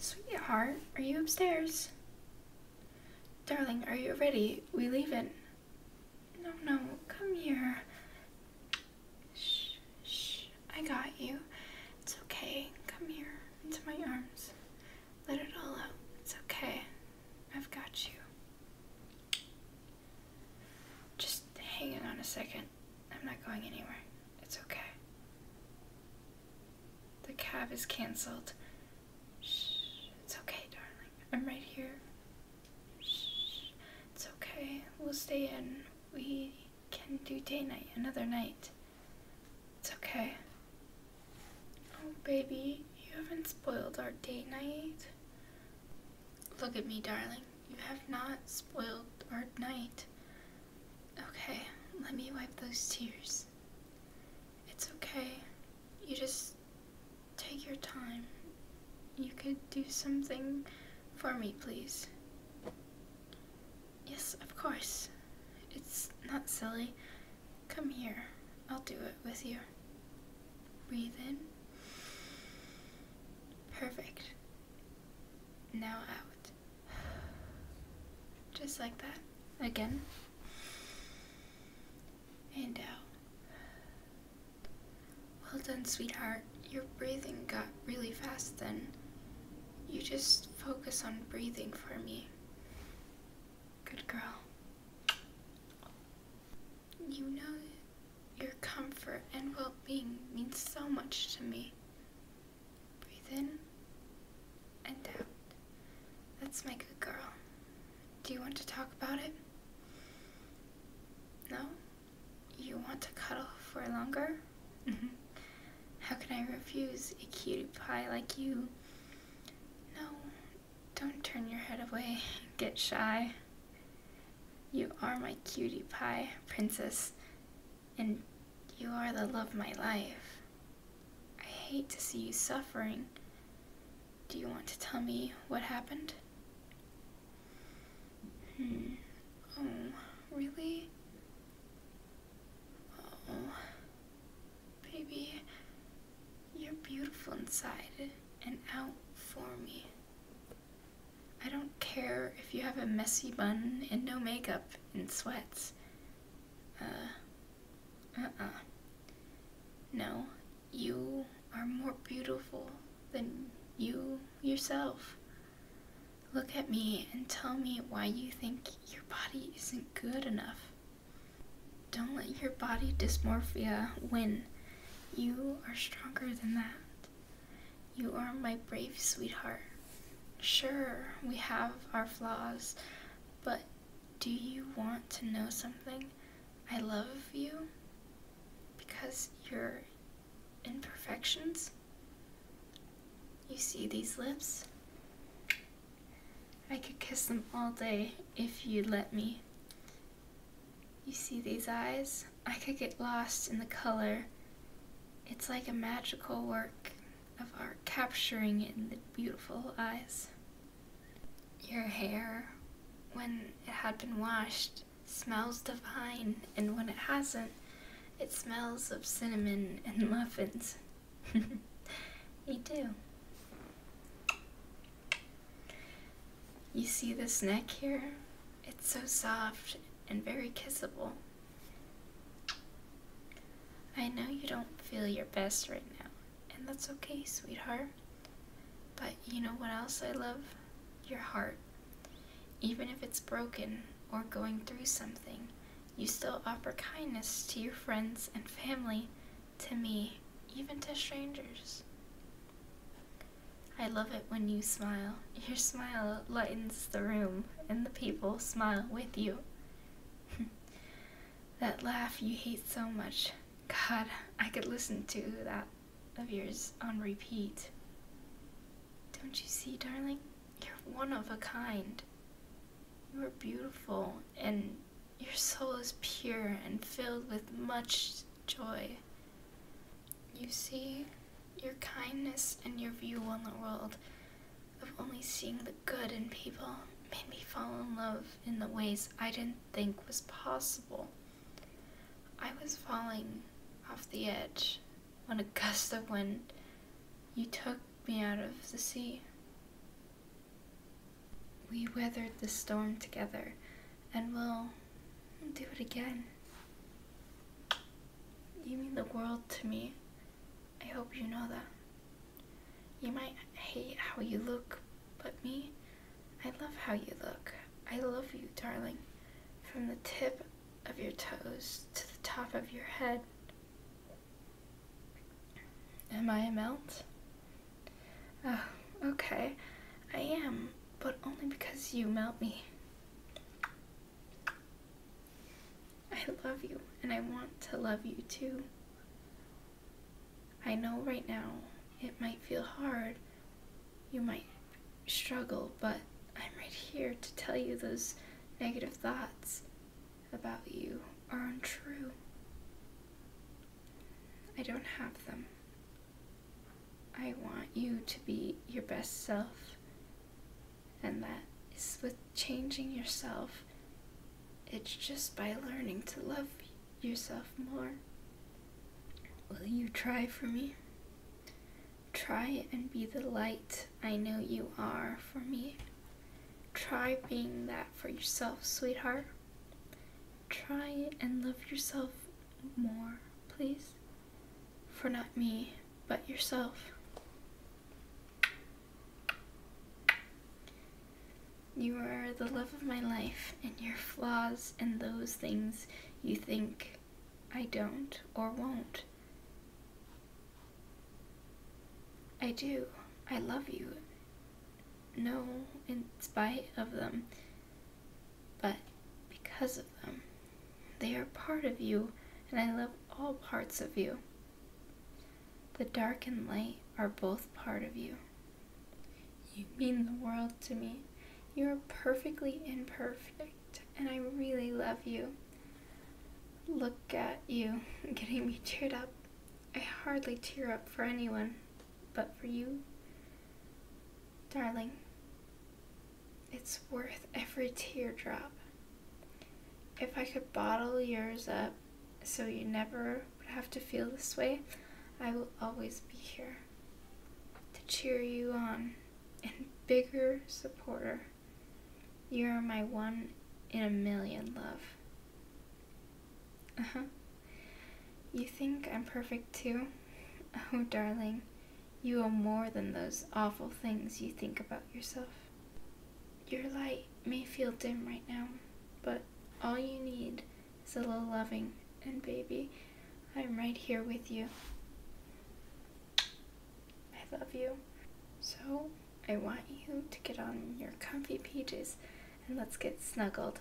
Sweetheart, are you upstairs? Darling, are you ready? We leaving. No, no, come here. Shh, shh, I got you. It's okay. Come here, into my arms. Let it all out. It's okay. I've got you. Just hang on a second. I'm not going anywhere. It's okay. The cab is cancelled. it's okay, darling. I'm right here. it's okay. We'll stay in. We can do day night another night. It's okay. Oh, baby, you haven't spoiled our date night. Look at me, darling. You have not spoiled our night. Okay, let me wipe those tears. It's okay. You just take your time. You could do something for me, please. Yes, of course. It's not silly. Come here. I'll do it with you. Breathe in. Perfect. Now out. Just like that. Again. And out. Well done, sweetheart. Your breathing got really fast then. You just focus on breathing for me. Good girl. You know your comfort and well being means so much to me. Breathe in and out. That's my good girl. Do you want to talk about it? No? You want to cuddle for longer? Mm-hmm. How can I refuse a cutie pie like you? No, don't turn your head away. Get shy. You are my cutie pie, princess and you are the love of my life. I hate to see you suffering. Do you want to tell me what happened? Hmm. Oh, really? Oh, baby, you're beautiful inside and out for me. I don't care if you have a messy bun and no makeup and sweats. Uh, uh No, you are more beautiful than you yourself. Look at me and tell me why you think your body isn't good enough. Don't let your body dysmorphia win. You are stronger than that. You are my brave sweetheart. Sure, we have our flaws, but do you want to know something? I love you because your imperfections. You see these lips? I could kiss them all day if you'd let me. You see these eyes? I could get lost in the color. It's like a magical work of art capturing in the beautiful eyes. Your hair, when it had been washed, smells divine, and when it hasn't, it smells of cinnamon and muffins. you do. You see this neck here? It's so soft and very kissable. I know you don't feel your best right now, and that's okay, sweetheart. But you know what else I love? Your heart. Even if it's broken or going through something, you still offer kindness to your friends and family, to me, even to strangers. I love it when you smile. Your smile lightens the room, and the people smile with you. that laugh you hate so much. God, I could listen to that of yours on repeat. Don't you see, darling? You're one of a kind. You are beautiful, and your soul is pure and filled with much joy. You see, your kindness and your view on the world of only seeing the good in people made me fall in love in the ways I didn't think was possible. I was falling off the edge when a gust of wind you took me out of the sea. We weathered the storm together and will do it again. You mean the world to me. I hope you know that. You might hate how you look, but me, I love how you look. I love you, darling. From the tip of your toes to the top of your head. Am I a melt? Oh, okay. I am, but only because you melt me. I love you and I want to love you too. I know right now it might feel hard, you might struggle, but I'm right here to tell you those negative thoughts about you are untrue. I don't have them. I want you to be your best self, and that is with changing yourself. It's just by learning to love yourself more. Will you try for me? Try and be the light I know you are for me. Try being that for yourself, sweetheart. Try and love yourself more, please for not me, but yourself. You are the love of my life, and your flaws and those things you think I don't or won't. I do. I love you. No, in spite of them. But because of them, they are part of you, and I love all parts of you. The dark and light are both part of you. You mean the world to me. You are perfectly imperfect, and I really love you. Look at you, getting me cheered up. I hardly tear up for anyone, but for you. Darling, it's worth every teardrop. If I could bottle yours up so you never would have to feel this way, I will always be here to cheer you on and bigger supporter. You're my one in a million love. Uh huh. You think I'm perfect too? Oh, darling, you are more than those awful things you think about yourself. Your light may feel dim right now, but all you need is a little loving, and baby, I'm right here with you. I love you. So, I want you to get on your comfy pages and let's get snuggled.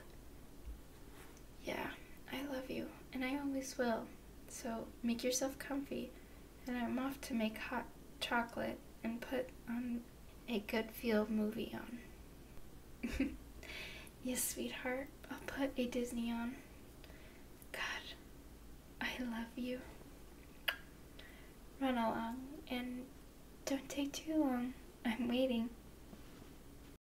Yeah, I love you, and I always will. So make yourself comfy, and I'm off to make hot chocolate and put on a good feel movie on. yes, sweetheart, I'll put a Disney on. God, I love you. Run along and don't take too long. I'm waiting.